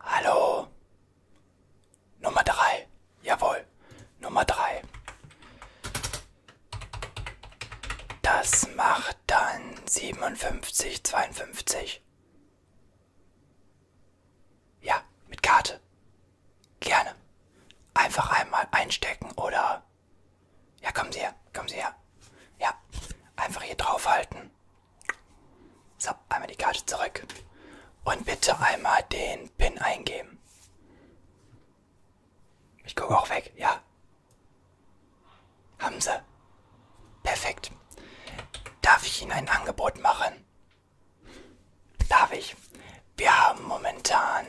Hallo. Nummer drei. Jawohl. Nummer drei. Das macht dann 57, 52. Ja, mit Karte. Gerne. Einfach einmal einstecken oder... Ja, kommen Sie her, kommen Sie her. Ja, einfach hier draufhalten so, einmal die Karte zurück. Und bitte einmal den PIN eingeben. Ich gucke auch weg, ja. Haben Sie. Perfekt. Darf ich Ihnen ein Angebot machen? Darf ich? Wir haben momentan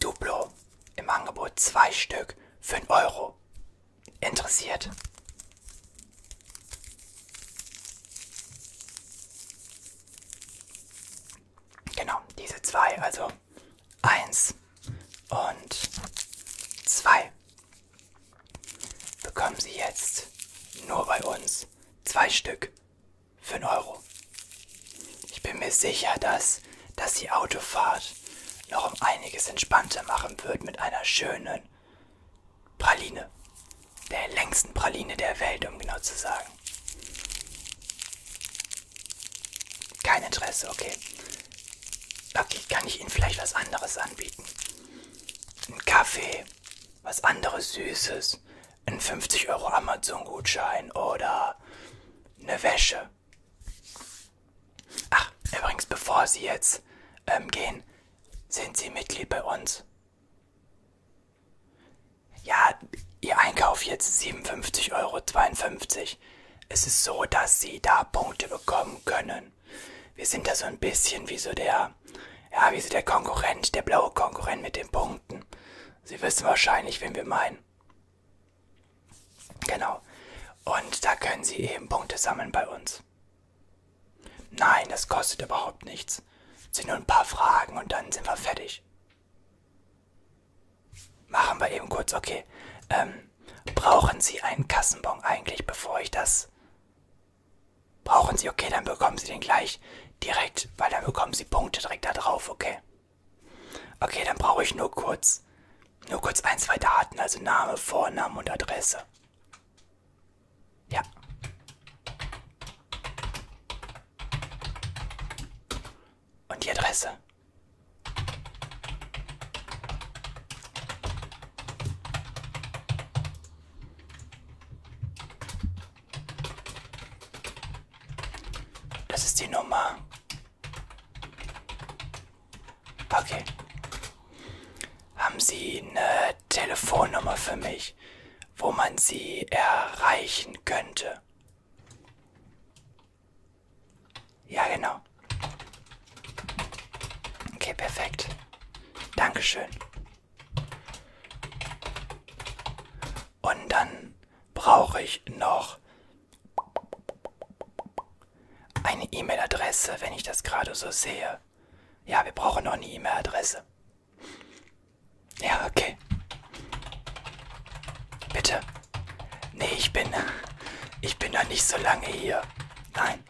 Duplo im Angebot. Zwei Stück. 5 Euro interessiert. Genau, diese zwei, also eins und zwei, bekommen Sie jetzt nur bei uns zwei Stück für einen Euro. Ich bin mir sicher, dass, dass die Autofahrt noch um einiges entspannter machen wird mit einer schönen Praline. Der längsten Praline der Welt, um genau zu sagen. Kein Interesse, okay. Okay, kann ich Ihnen vielleicht was anderes anbieten? Ein Kaffee, was anderes Süßes, ein 50 Euro Amazon-Gutschein oder eine Wäsche. Ach, übrigens, bevor Sie jetzt ähm, gehen, sind Sie Mitglied bei uns? Ja, Ihr Einkauf jetzt 57,52 Euro. Es ist so, dass Sie da Punkte bekommen können. Wir sind da so ein bisschen wie so der, ja, wie so der Konkurrent, der blaue Konkurrent mit den Punkten. Sie wissen wahrscheinlich, wen wir meinen. Genau. Und da können Sie eben Punkte sammeln bei uns. Nein, das kostet überhaupt nichts. Es sind nur ein paar Fragen und dann sind wir fertig. Machen wir eben kurz, okay. Ähm, brauchen Sie einen Kassenbon eigentlich, bevor ich das... Brauchen Sie, okay, dann bekommen Sie den gleich direkt, weil dann bekommen Sie Punkte direkt da drauf, okay. Okay, dann brauche ich nur kurz nur kurz ein, zwei Daten, also Name, Vorname und Adresse. Ja. Und die Adresse. Das ist die Nummer Okay. Haben Sie eine Telefonnummer für mich, wo man Sie erreichen könnte? Ja, genau. Okay, perfekt. Dankeschön. Und dann brauche ich noch eine E-Mail-Adresse, wenn ich das gerade so sehe. Ja, wir brauchen noch eine E-Mail-Adresse. Ja, okay. Bitte. Nee, ich bin. Ich bin noch nicht so lange hier. Nein.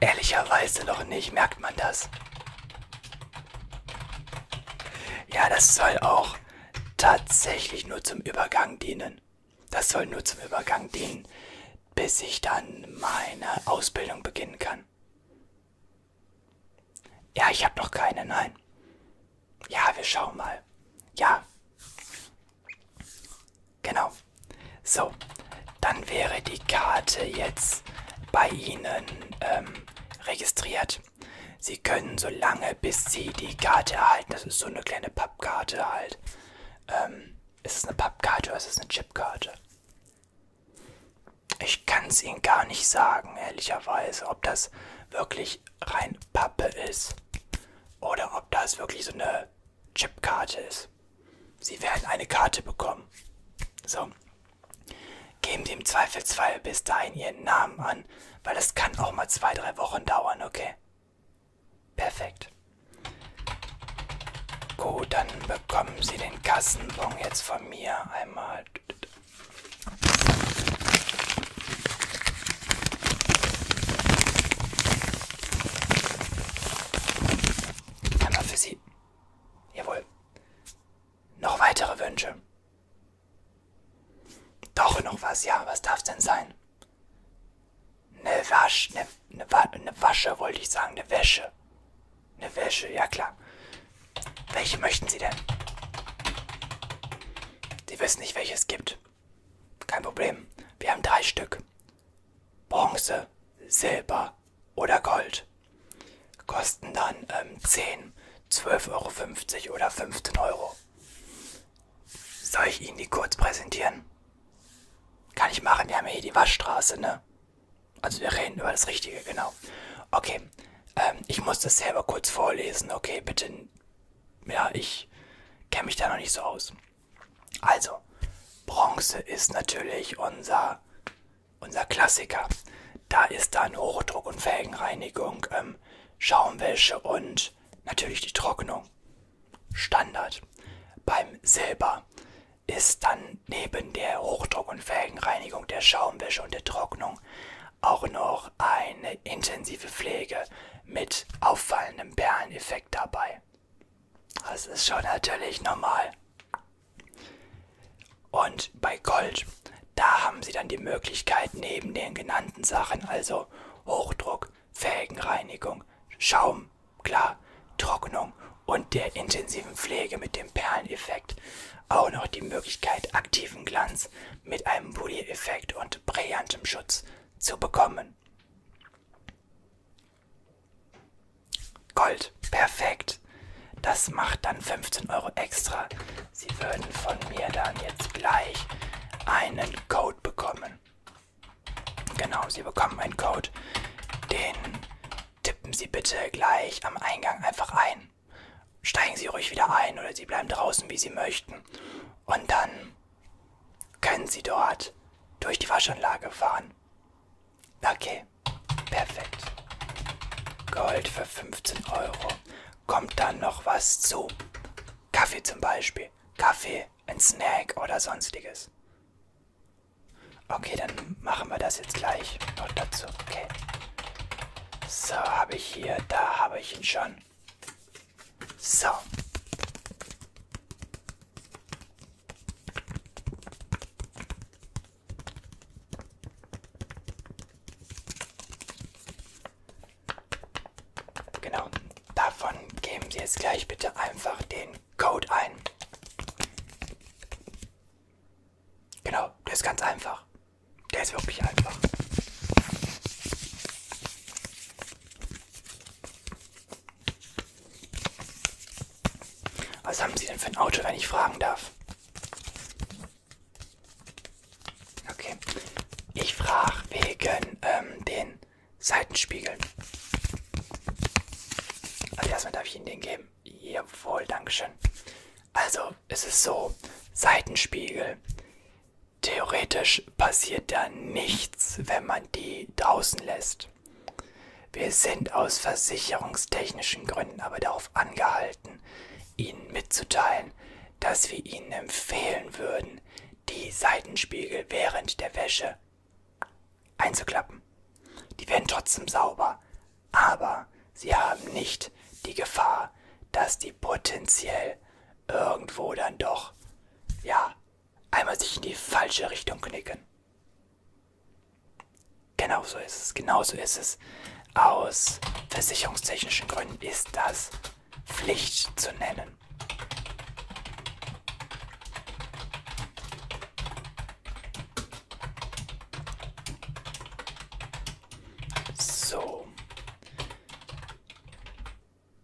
Ehrlicherweise noch nicht, merkt man das. Ja, das soll auch tatsächlich nur zum Übergang dienen. Das soll nur zum Übergang dienen, bis ich dann meine Ausbildung beginnen kann. Ja, ich habe noch keine, nein. Ja, wir schauen mal. Ja. Genau. So, dann wäre die Karte jetzt bei Ihnen ähm, registriert. Sie können so lange, bis Sie die Karte erhalten, das ist so eine kleine Pappkarte halt, ähm, ist es eine Pappkarte oder ist es eine Chipkarte? Ich kann es Ihnen gar nicht sagen, ehrlicherweise, ob das wirklich rein Pappe ist oder ob das wirklich so eine Chipkarte ist. Sie werden eine Karte bekommen. So. Geben Sie im Zweifelsfall bis dahin Ihren Namen an, weil das kann auch mal zwei, drei Wochen dauern, okay? Perfekt. Gut, dann bekommen Sie den Kassenbon jetzt von mir einmal. Einmal für Sie. Jawohl. Noch weitere Wünsche. Doch noch was, ja, was darf's denn sein? Eine Wasch, eine, eine, Wa eine Wasche wollte ich sagen, eine Wäsche. Eine Wäsche, ja klar. Welche möchten Sie denn? Sie wissen nicht, welche es gibt. Kein Problem. Wir haben drei Stück. Bronze, Silber oder Gold. Kosten dann ähm, 10, 12,50 Euro oder 15 Euro. Soll ich Ihnen die kurz präsentieren? Kann ich machen, wir haben ja hier die Waschstraße, ne? Also wir reden über das Richtige, genau. Okay, ähm, ich muss das selber kurz vorlesen, okay, bitte. Ja, ich kenne mich da noch nicht so aus. Also, Bronze ist natürlich unser, unser Klassiker. Da ist dann Hochdruck und Felgenreinigung, ähm, Schaumwäsche und natürlich die Trocknung. Standard. Beim Silber ist dann neben der Hochdruck- und Felgenreinigung, der Schaumwäsche und der Trocknung auch noch eine intensive Pflege mit auffallendem Perleneffekt dabei. Das ist schon natürlich normal. Und bei Gold, da haben Sie dann die Möglichkeit, neben den genannten Sachen, also Hochdruck, Abzug, Felgenreinigung, Schaum, klar, Trocknung und der intensiven Pflege mit dem Perleneffekt. Auch noch die Möglichkeit, aktiven Glanz mit einem Polier-Effekt und brillantem Schutz zu bekommen. Gold, perfekt. Das macht dann 15 Euro extra. Sie würden von mir dann jetzt gleich einen Code bekommen. Genau, Sie bekommen einen Code. Den tippen Sie bitte gleich am Eingang einfach ein. Steigen Sie ruhig wieder ein oder Sie bleiben draußen, wie Sie möchten. Und dann können Sie dort durch die Waschanlage fahren. Okay, perfekt. Gold für 15 Euro. Kommt dann noch was zu? Kaffee zum Beispiel. Kaffee ein Snack oder sonstiges. Okay, dann machen wir das jetzt gleich noch dazu. Okay. So, habe ich hier, da habe ich ihn schon. So. Genau, davon geben Sie jetzt gleich bitte einfach den Code ein. Genau, der ist ganz einfach. Der ist wirklich einfach. Was haben Sie denn für ein Auto, wenn ich fragen darf? Okay. Ich frage wegen ähm, den Seitenspiegeln. Also erstmal darf ich Ihnen den geben. Jawohl, Dankeschön. Also es ist so, Seitenspiegel. Theoretisch passiert da nichts, wenn man die draußen lässt. Wir sind aus versicherungstechnischen Gründen aber darauf angehalten, Ihnen mitzuteilen, dass wir Ihnen empfehlen würden, die Seitenspiegel während der Wäsche einzuklappen. Die werden trotzdem sauber, aber sie haben nicht die Gefahr, dass die potenziell irgendwo dann doch, ja, einmal sich in die falsche Richtung knicken. Genau so ist es, genau so ist es. Aus versicherungstechnischen Gründen ist das Pflicht zu nennen. So.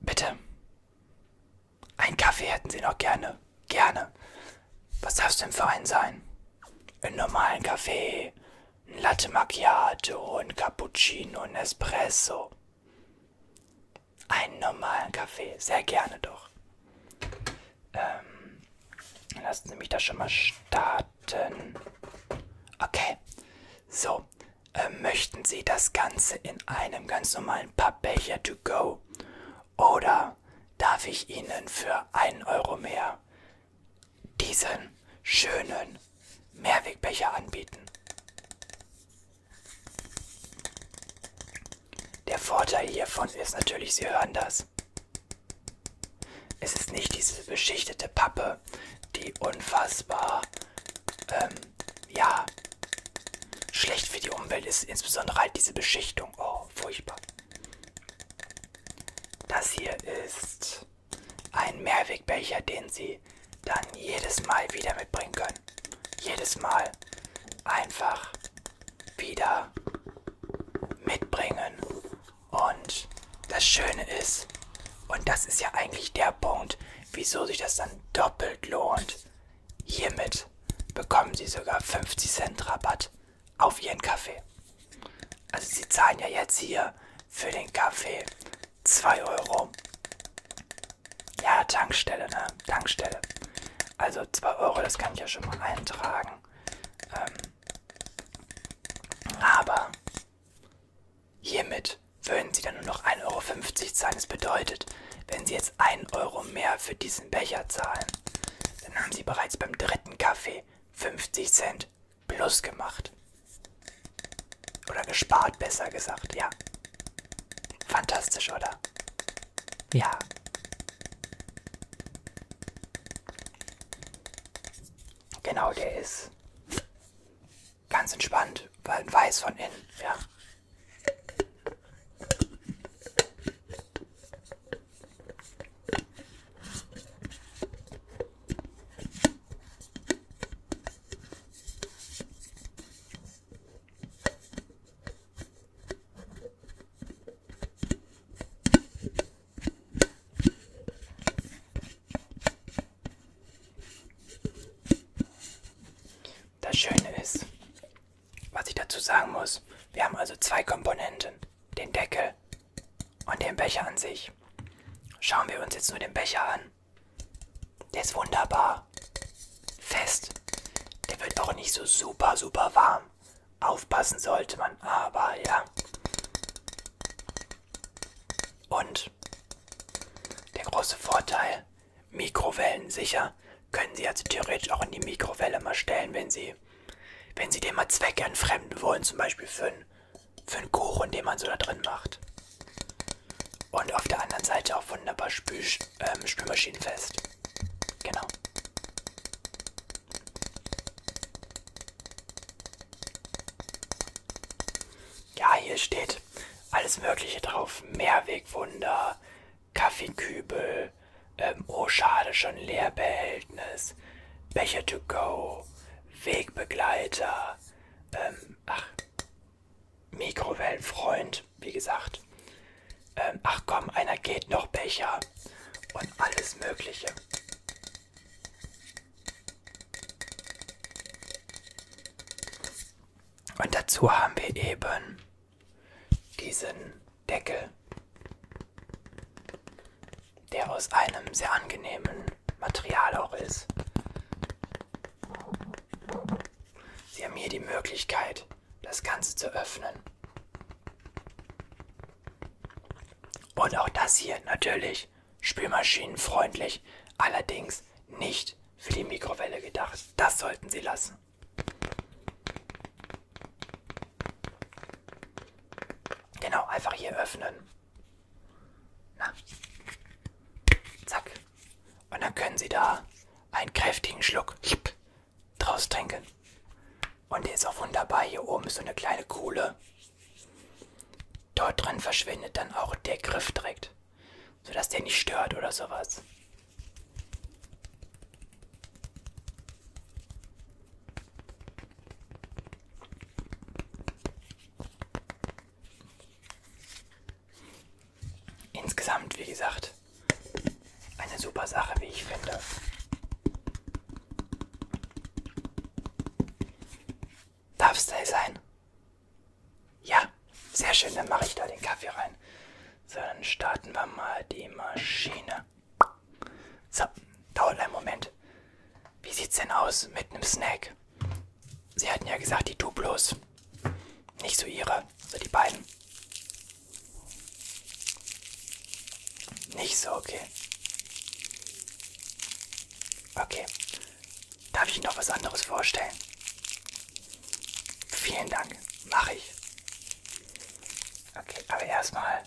Bitte. Ein Kaffee hätten Sie noch gerne. Gerne. Was darf es denn für einen sein? Einen normalen Kaffee, ein Latte Macchiato, ein Cappuccino, ein Espresso. Einen normalen Kaffee, sehr gerne doch. Ähm, lassen Sie mich das schon mal starten. Okay, so. Äh, möchten Sie das Ganze in einem ganz normalen Pappbecher to go? Oder darf ich Ihnen für einen Euro mehr diesen schönen Mehrwegbecher anbieten. Der Vorteil hiervon ist natürlich, Sie hören das. Es ist nicht diese beschichtete Pappe, die unfassbar, ähm, ja, schlecht für die Umwelt ist, insbesondere halt diese Beschichtung. Oh, furchtbar. Das hier ist ein Mehrwegbecher, den sie dann jedes Mal wieder mitbringen können. Jedes Mal einfach wieder mitbringen. Und das Schöne ist, und das ist ja eigentlich der Punkt, wieso sich das dann doppelt lohnt. Hiermit bekommen sie sogar 50 Cent Rabatt auf ihren Kaffee. Also sie zahlen ja jetzt hier für den Kaffee 2 Euro. Ja, Tankstelle, ne? Tankstelle. Also 2 Euro, das kann ich ja schon mal eintragen. Ähm, aber hiermit würden Sie dann nur noch 1,50 Euro zahlen. Das bedeutet, wenn Sie jetzt 1 Euro mehr für diesen Becher zahlen, dann haben Sie bereits beim dritten Kaffee 50 Cent plus gemacht. Oder gespart, besser gesagt, ja. Fantastisch, oder? Ja. Genau, der ist ganz entspannt, weil weiß von innen, ja. Das Schöne ist, was ich dazu sagen muss, wir haben also zwei Komponenten, den Deckel und den Becher an sich. Schauen wir uns jetzt nur den Becher an. Der ist wunderbar. Fest. Der wird auch nicht so super, super warm. Aufpassen sollte man, aber ja. Und der große Vorteil, Mikrowellen sicher, können Sie also theoretisch auch in die Mikrowelle mal stellen, wenn Sie, wenn Sie den mal zweckentfremden wollen, zum Beispiel für einen für einen Kuchen, den man so da drin macht. Und auf der anderen Seite auch wunderbar Spül ähm, spülmaschinenfest. Genau. Ja, hier steht alles Mögliche drauf. Mehrwegwunder, Kaffeekübel, ähm, oh schade, schon Leerbehältnis, Becher to go, Wegbegleiter, ähm, ach, Mikrowellenfreund, wie gesagt. Ähm, ach komm, einer geht noch Becher und alles Mögliche. Und dazu haben wir eben diesen Deckel der aus einem sehr angenehmen Material auch ist. Sie haben hier die Möglichkeit, das Ganze zu öffnen. Und auch das hier natürlich spülmaschinenfreundlich, allerdings nicht für die Mikrowelle gedacht. Das sollten Sie lassen. Genau, einfach hier öffnen. Na. Zack. Und dann können Sie da einen kräftigen Schluck draus trinken. Und der ist auch wunderbar. Hier oben ist so eine kleine Kuhle. Dort drin verschwindet dann auch der Griff direkt. Sodass der nicht stört oder sowas. Insgesamt, wie gesagt, eine super Sache, wie ich finde. Darf es da sein? Ja, sehr schön, dann mache ich da den Kaffee rein. So, dann starten wir mal die Maschine. So, dauert einen Moment. Wie sieht's denn aus mit einem Snack? Sie hatten ja gesagt, die Duplos. Nicht so ihre, so die beiden. Nicht so, okay. Okay. Darf ich Ihnen noch was anderes vorstellen? Vielen Dank. Mache ich. Okay, aber erstmal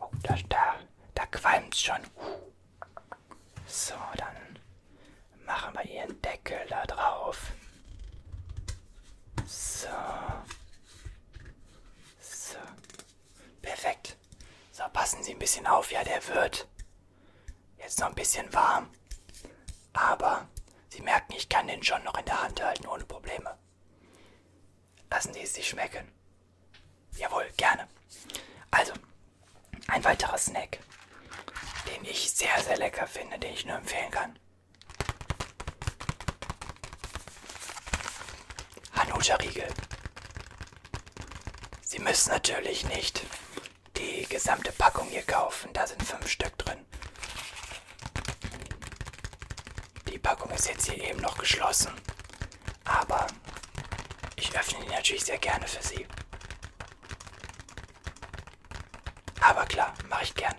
Oh, da, da, da qualmt schon. So, dann machen wir ihren Deckel da drauf. So. So. Perfekt. So, passen Sie ein bisschen auf. Ja, der wird jetzt noch ein bisschen warm. Aber Sie merken, ich kann den schon noch in der Hand halten ohne Probleme. Lassen Sie es sich schmecken. Jawohl, gerne. Also, ein weiterer Snack, den ich sehr, sehr lecker finde, den ich nur empfehlen kann. Hanuta Riegel. Sie müssen natürlich nicht die gesamte Packung hier kaufen, da sind fünf Stück drin. Die Packung ist jetzt hier eben noch geschlossen aber ich öffne die natürlich sehr gerne für Sie. Aber klar, mache ich gerne.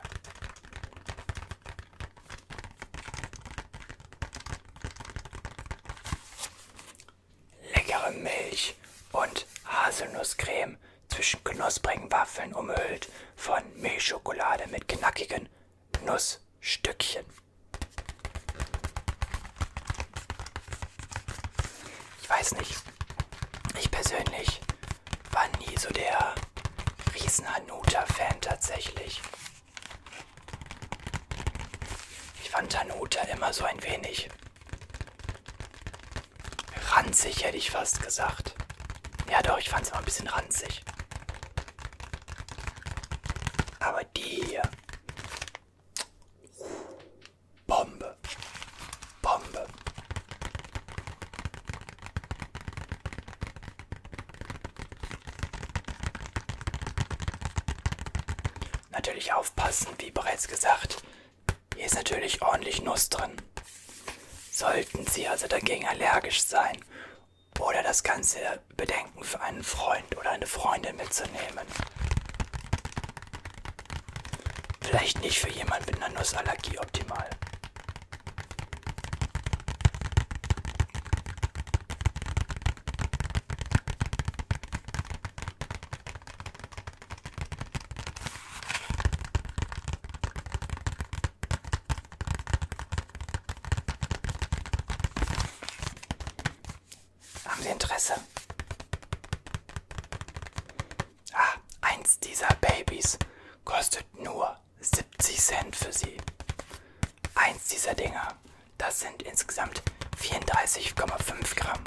Leckere Milch und Haselnusscreme zwischen knusprigen Waffeln umhüllt von Milchschokolade mit knackigen Nussstückchen. Ich weiß nicht. Ich persönlich war nie so der Riesen-Hanuta-Fan tatsächlich. Ich fand Hanuta immer so ein wenig ranzig, hätte ich fast gesagt. Ja doch, ich fand es immer ein bisschen ranzig. Aber aber die hier. Bombe. Bombe. Natürlich aufpassen, wie bereits gesagt. Hier ist natürlich ordentlich Nuss drin. Sollten Sie also dagegen allergisch sein oder das ganze Bedenken für einen Freund oder eine Freundin mitzunehmen. Vielleicht nicht für jemanden mit einer Nussallergie optimal. Haben Sie Interesse? Ah, eins dieser Babys kostet nur 70 Cent für Sie. Eins dieser Dinger, das sind insgesamt 34,5 Gramm.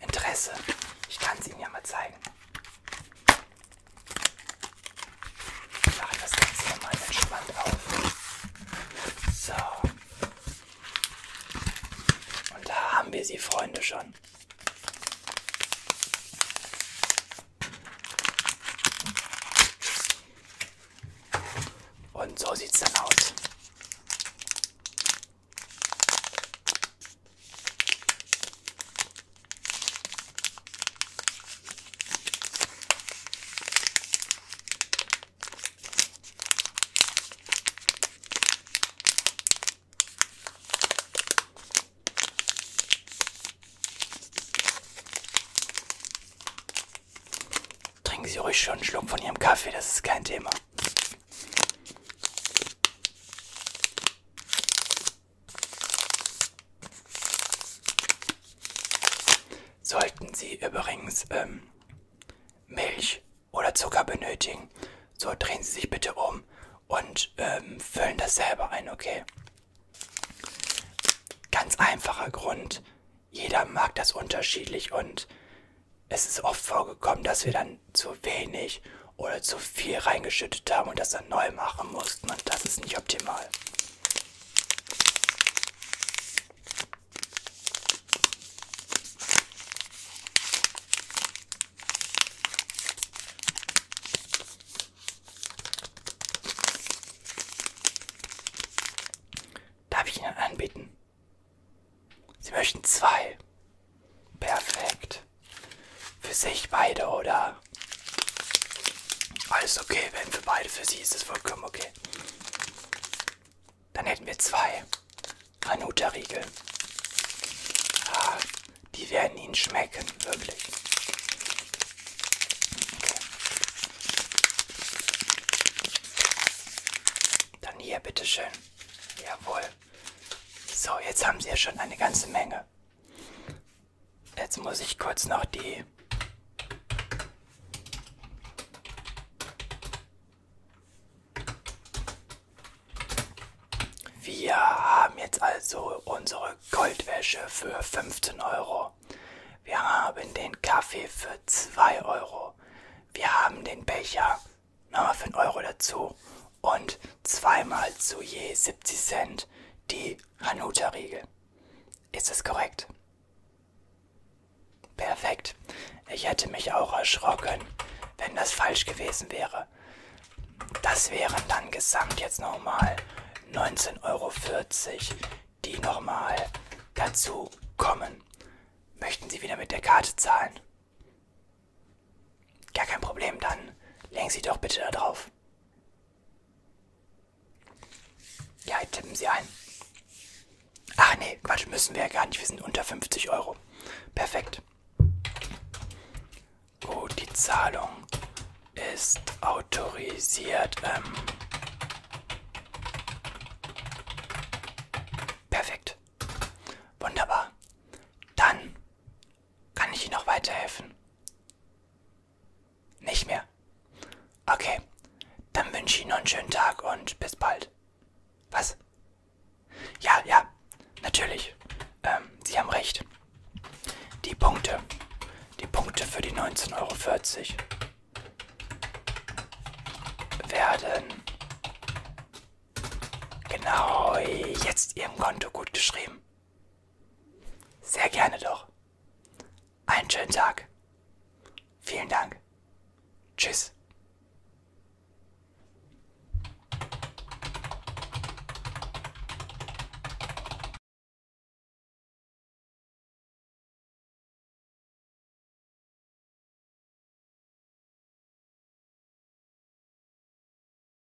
Interesse, ich kann es Ihnen ja mal zeigen. Machen das Ganze nochmal entspannt auf. So. Und da haben wir sie, Freunde, schon. Und so sieht's dann aus. Trinken Sie ruhig schon einen Schluck von Ihrem Kaffee, das ist kein Thema. Sollten Sie übrigens ähm, Milch oder Zucker benötigen, so drehen Sie sich bitte um und ähm, füllen das selber ein, okay? Ganz einfacher Grund. Jeder mag das unterschiedlich und es ist oft vorgekommen, dass wir dann zu wenig oder zu viel reingeschüttet haben und das dann neu machen mussten und das ist nicht optimal. Darf ich Ihnen anbieten? Sie möchten zwei. Perfekt. Für sich beide, oder? Alles okay, wenn für beide für sie ist es vollkommen okay. Dann hätten wir zwei Hanuta-Riegel. Ah, die werden ihnen schmecken, wirklich. Okay. Dann hier, bitteschön. Jawohl. So, jetzt haben sie ja schon eine ganze Menge. Jetzt muss ich kurz noch die Wir haben jetzt also unsere Goldwäsche für 15 Euro. Wir haben den Kaffee für 2 Euro. Wir haben den Becher nochmal für einen Euro dazu und zweimal zu je 70 Cent die Hanuta-Riegel. Ist es korrekt? Perfekt. Ich hätte mich auch erschrocken, wenn das falsch gewesen wäre. Das wären dann gesamt jetzt nochmal 19,40 Euro, die nochmal dazu kommen. Möchten Sie wieder mit der Karte zahlen? Gar kein Problem, dann legen Sie doch bitte da drauf auf. Ja, tippen Sie ein. Ach nee, Quatsch, müssen wir ja gar nicht. Wir sind unter 50 Euro. Perfekt. Gut, die Zahlung ist autorisiert. Ähm perfekt. Wunderbar. Dann kann ich Ihnen noch weiterhelfen? Nicht mehr. Okay, dann wünsche ich Ihnen noch einen schönen Tag und bis bald. Was? Ja, ja, natürlich. Ähm, Sie haben recht. Die Punkte. Die Punkte für die 19,40 Euro werden genau jetzt Ihrem Konto gut geschrieben. Sehr gerne doch. Einen schönen Tag. Vielen Dank. Tschüss.